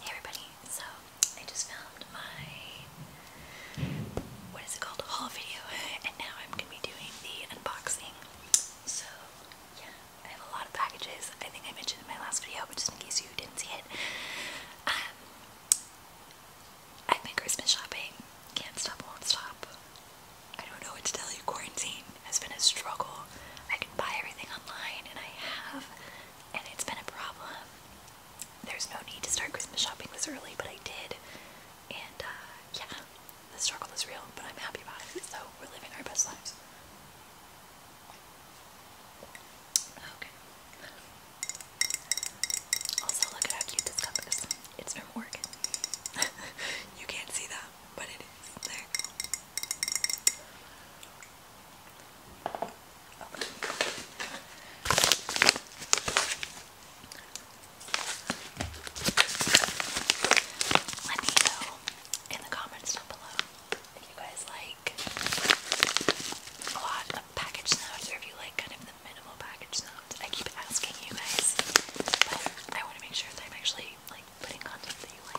Hey everybody, so I just filmed my, what is it called, haul video, and now I'm going to be doing the unboxing. So, yeah, I have a lot of packages, I think I mentioned in my last video, but just in case you didn't see it. Um, I've been Christmas shopping, can't stop, won't stop. I don't know what to tell you, quarantine has been a struggle. I can buy everything online, and I have, and it's been a problem. There's no need to start Christmas shopping this early, but I did, and uh, yeah, the struggle is real, but I'm happy about it, so we're living our best lives. Okay. Also, look at how cute this cup is. It's from Oregon. you can't see that, but it is. There. Let me know in the comments down below if you guys like a lot of package notes or if you like kind of the minimal package notes. I keep asking you guys, but I want to make sure that I'm actually like putting content that you like.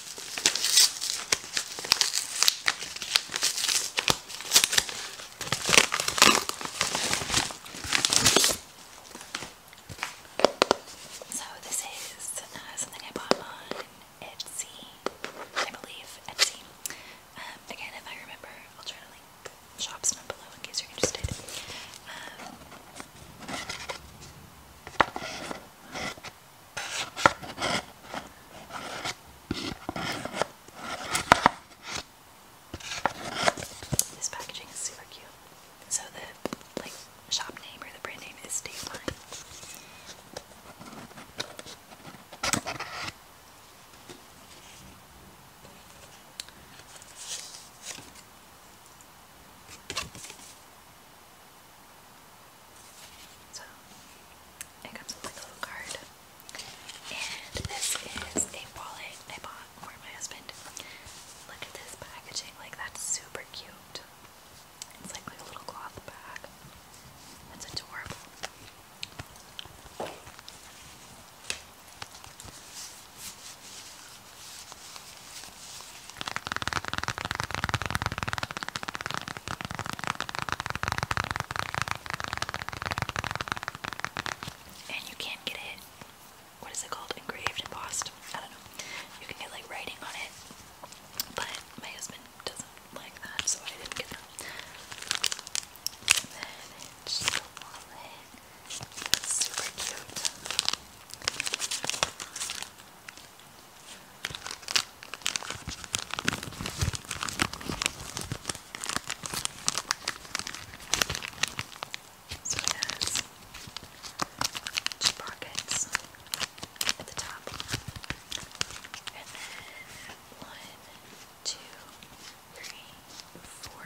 So this is uh, something I bought on Etsy, I believe, Etsy. Um, again, if I remember, I'll try to link shops down below in case you're interested. Um, this packaging is super cute. So the like shop name or the brand name is Dateline. So it comes with like a little card. And this is a wallet I bought for my husband. Look at this packaging, like that's super cute. It's like, like a little cloth bag. That's adorable. And you can get it, what is it called? Engraved, embossed? I don't know. You can get like writing on it, but my husband doesn't like that, so I didn't get that. And then just a wallet. super cute. So it has two pockets at the top, and then one, two, three, four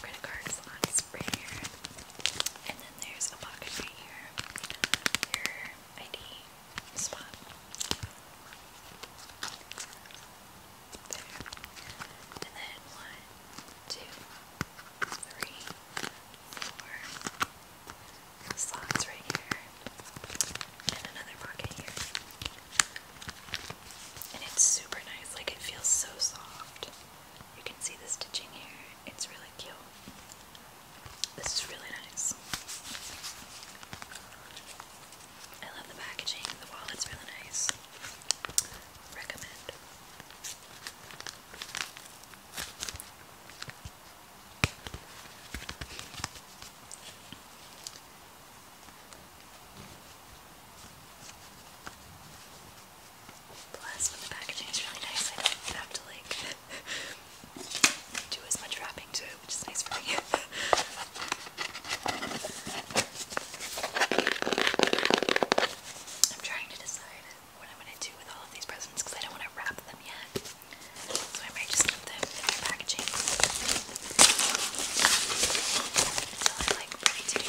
credit card slots right here, and then there's a pocket right here. Your ID spot. There. And then one, two, three, four slots right here. And another pocket here. And it's super nice, like it feels so soft. You can see the stitching here. It's really cute. This is really nice. I love the packaging, the wallet's really nice. Recommend. Plus, the packaging is really nice. I don't have to like do as much wrapping to it, which is nice for me. I'm trying to decide what I'm gonna do with all of these presents because I don't want to wrap them yet. So I might just put them in packaging until I'm like ready to do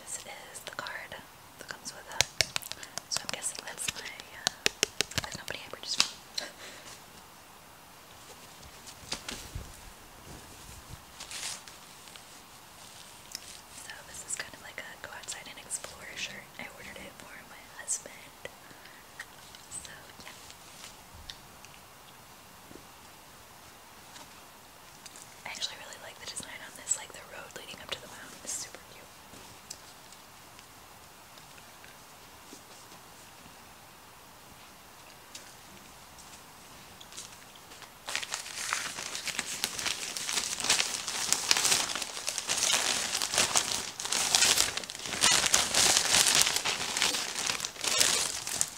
This is the card that comes with it. So I'm guessing that's my, there's uh, nobody I purchased so this is kind of like a go outside and explore shirt. I ordered it for my husband. So yeah. I actually really like the design on this, like the road leading up to the mountain is super cute.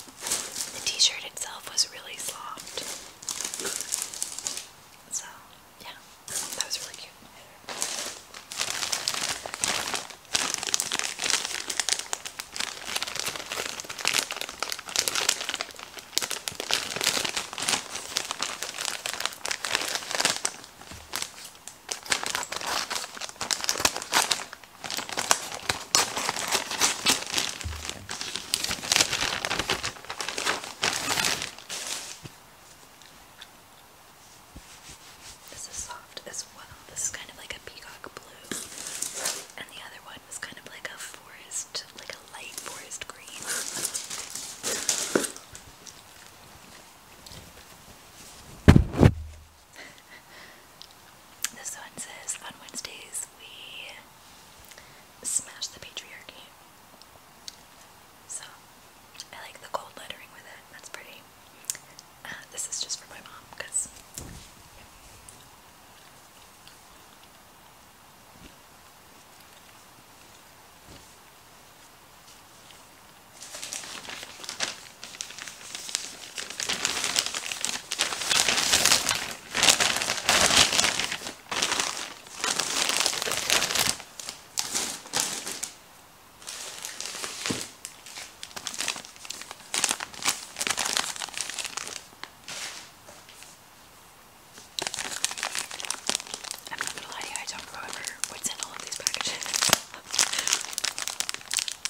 The t-shirt itself was really soft. So, yeah, that was really cute. This is soft as well. This is kind of like a peacock blue, and the other one was kind of like a forest, like a light forest green. this one says, on Wednesdays we smash the patriarchy. So, I like the gold lettering with it. That's pretty. Uh, this is just for my mom, because... I'm not gonna lie to you, I don't remember what's in all of these packages.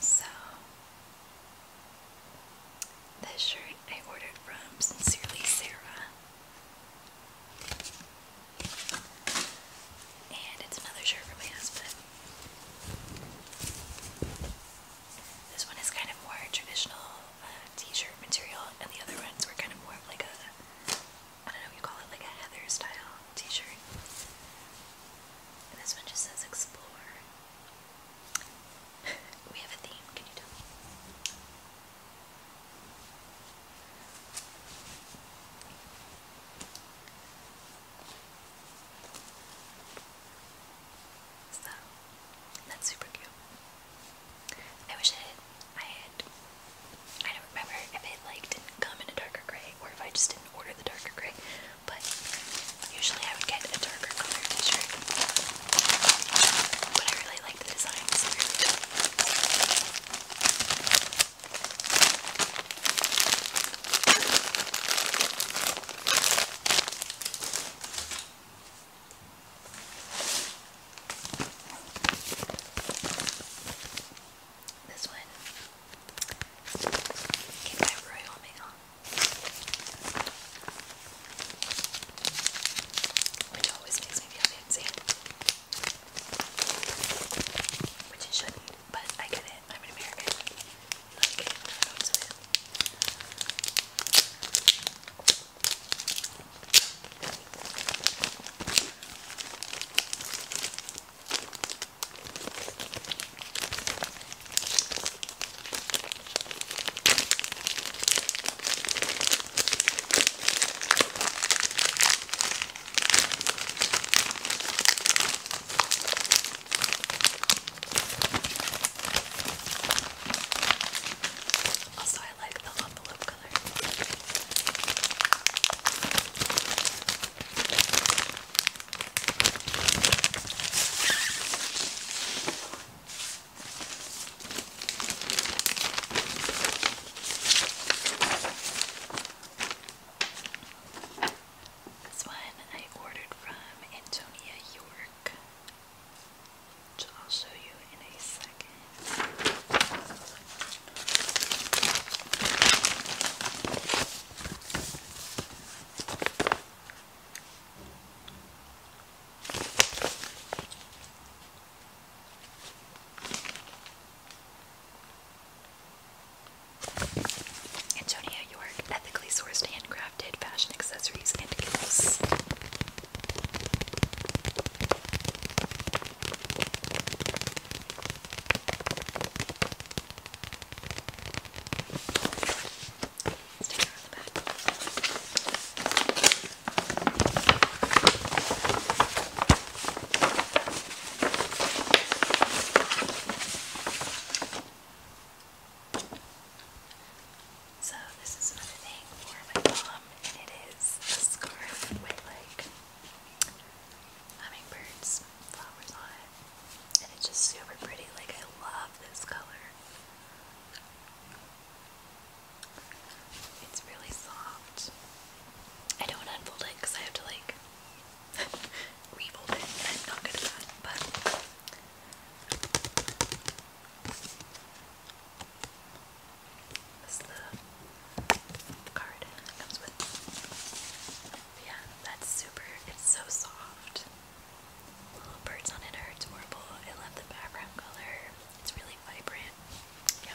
So, this shirt I ordered from Sincerely Sarah. And it's another shirt for my husband. This one is kind of more traditional uh, t-shirt material, and the other ones were kind of more of like a, I don't know what call it, like a Heather style t-shirt. And this one just says explore. we have a theme, can you tell me? that's super cute. I wish I had I had I don't remember if it like didn't come in a darker gray or if I just didn't order the darker gray, but usually I would get a darker color t-shirt. But I really like the design, this one came by Royal Mail, which always makes me feel fancy, which it should be but I get it. I'm an American. Like, it. Also, I like the envelope color. This one I ordered from Antonia York, which I'll show you in a second. Antonia York, ethically sourced handcrafted fashion accessories and gifts. Sticker on the back. So this is another thing for my mom, and it is a scarf with like hummingbirds, flowers on it, and it's just super pretty. Like I love this color. It's really soft. I don't unfold it because I have to like refold it, I'm not good at that, but. That's the card it comes with. Yeah, that's super. It's so soft. Little birds on it are adorable. I love the background color. It's really vibrant. Yeah.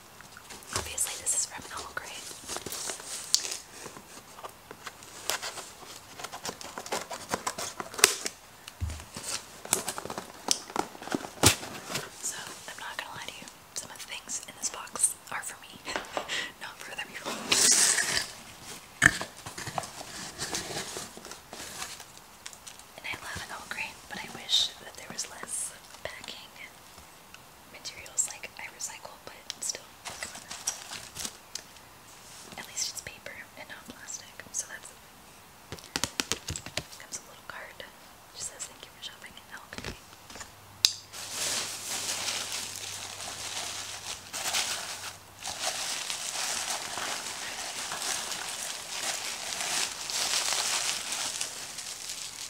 Obviously, this is from an old grade. So, I'm not gonna lie to you, some of the things in this box are for me, not for other And I love an old but I wish that there was less packing materials like I recycle, but still, At least it's paper and not plastic, so that's comes a little card. just says thank you for shopping at LP.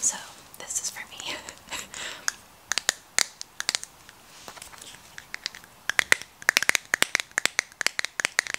So, this is for me.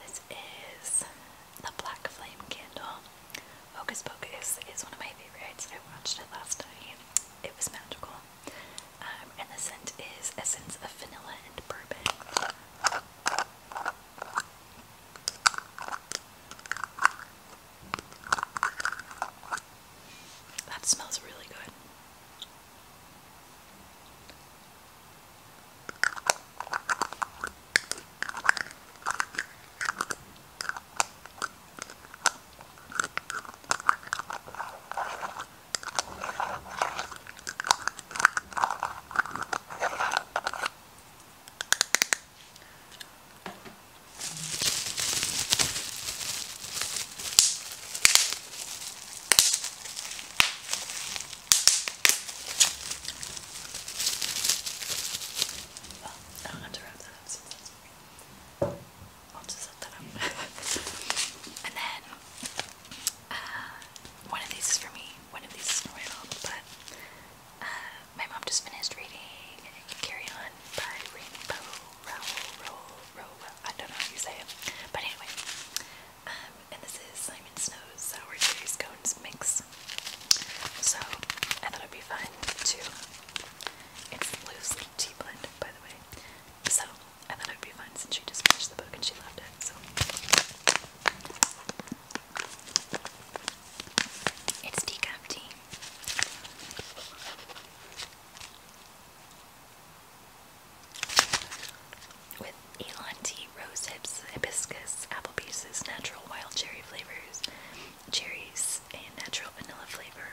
This is the Black Flame Candle. Focus, Pocus is one of my favorites. I watched it last night. It was magical. Um, and the scent is essence of vanilla and bourbon. That smells really good. Well, I don't have to wrap that up since that's okay. I'll just set that up. and then uh, one of these is for me, one of these is for my mom, but my mom just finished reading Carry On by Rainbow Rowell, I don't know how you say it, but anyway, um, and this is Simon Snow's Sour Cherry Scones Mix, so I thought it'd be fun to, it's a loose tea blend, by the way, so I thought it'd be fun since she just finished the book and she loved it, so it's decaf tea. With Elon tea, rose hips, hibiscus, apple pieces, natural wild cherry flavors, cherries, and natural vanilla flavor.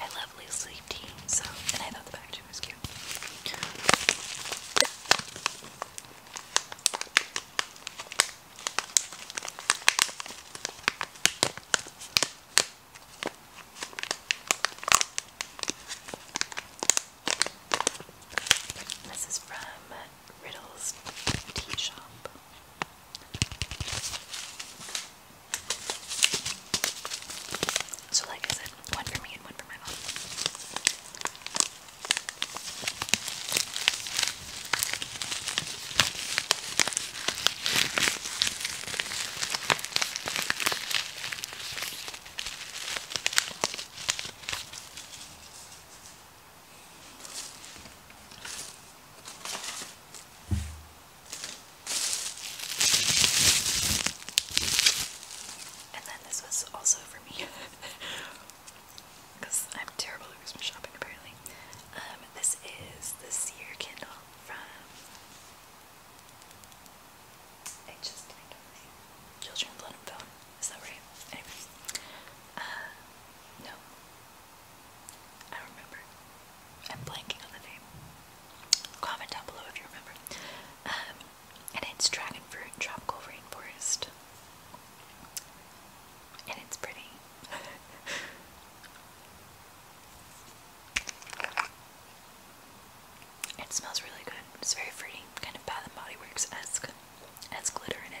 I love loose leaf tea, so and I love the packaging. She was from Riddle's Tea Shop. So, like I said, one for me and one for my mom. And then this was also for me. Because I'm terrible at Christmas shopping apparently. Um, this is the Seer candle from I just blanked on Children Blood and Bone. Is that right? Anyways. Uh, no. I don't remember. I'm blanking on the name. Comment down below if you remember. Um, and it's dragon fruit tropical rainforest. And it's pretty. it smells really good. It's very fruity, kind of Bath and Body Works esque. has glitter in it.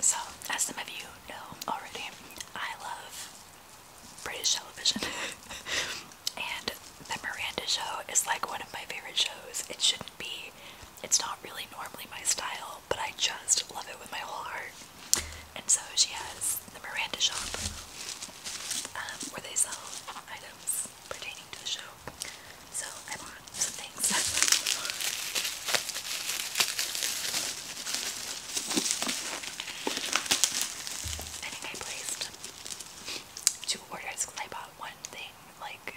So, as some of you know already, I love British television. and the Miranda show is like one of my favorite shows. It shouldn't be, it's not really normally my style, but I just love it with my whole heart and so she has the Miranda shop um, where they sell items pertaining to the show. So I bought some things. I think I placed two orders I bought one thing like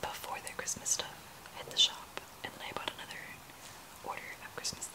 before the Christmas stuff at the shop, and I bought another order of Christmas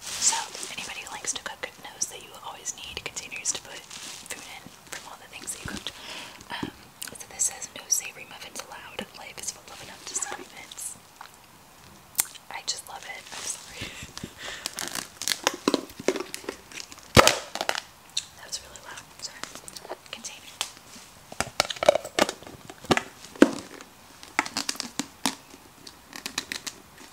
So anybody who likes to cook knows that you always need containers to put food in from all the things that you cooked. Um, so this says no savory muffins allowed. Life is full of enough disappointments. I just love it. that was really loud. Sorry. Container.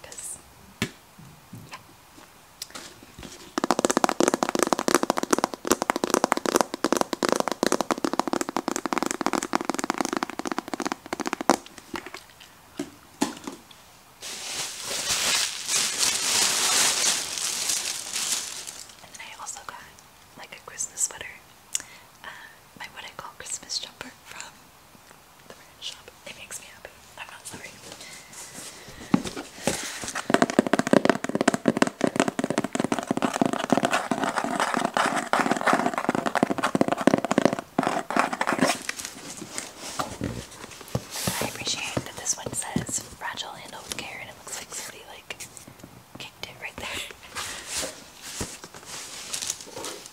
Because, And then I also got like a Christmas sweater, uh, my what I call Christmas jumper from the brand shop. It makes me happy. I'm not sorry. I appreciate that this one says fragile handle with care and it looks like somebody like kicked it right there.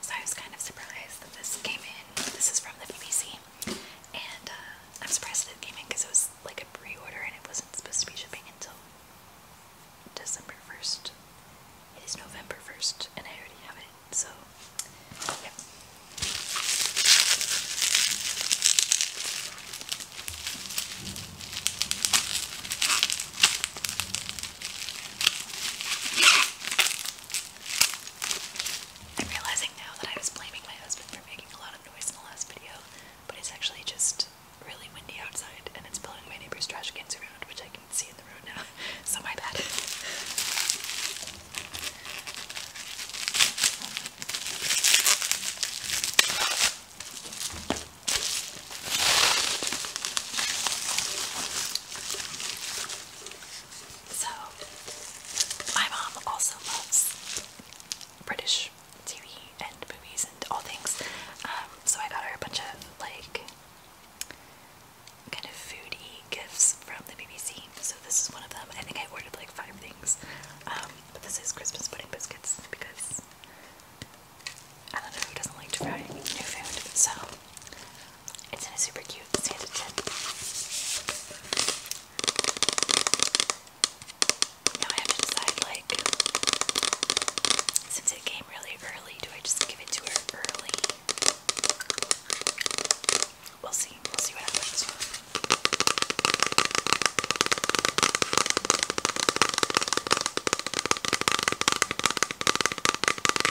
So I was kind of surprised that this came in. This is from the BBC, and uh, I'm surprised that it came in because it was like a pre-order and it wasn't supposed to be shipping until December 1st. It is November 1st, and I already have it, so yeah. I'm realizing now that I was blaming my husband for making a lot of noise in the last video, but it's actually just really windy outside and it's blowing my neighbor's trash cans around, which I can see in the road now, so my bad. So, my mom also loves British TV and movies and all things. Um, so I got her a bunch of like kind of foodie gifts from the BBC. So this is one of them. I think I ordered like five things. Um, but this is Christmas pudding biscuits because I don't know who doesn't like to try new food, so it's in a super cute Santa tin. Now I have to decide, like, since it came really early, do I just give it to her early? We'll see. We'll see what happens.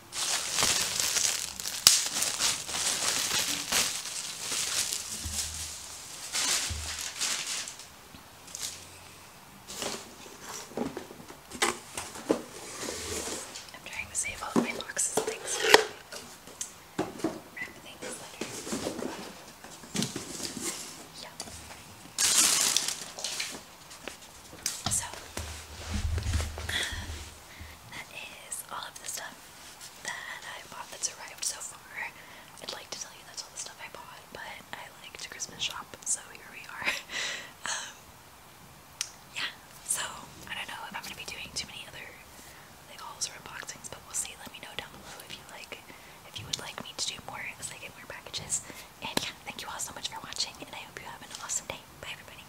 I'm trying to save all of my boxes and things. Wrap things later. Yeah. So, uh, that is all of the stuff that I bought that's arrived so far. I'd like to tell you that's all the stuff I bought, but I like to Christmas shop, so here we are. um, yeah, so I don't know if I'm gonna be doing too many other like hauls or unboxings, but we'll see. Let me know down below if you like, if you would like me to do more as I get packages. And yeah, thank you all so much for watching, and I hope you have an awesome day. Bye, everybody.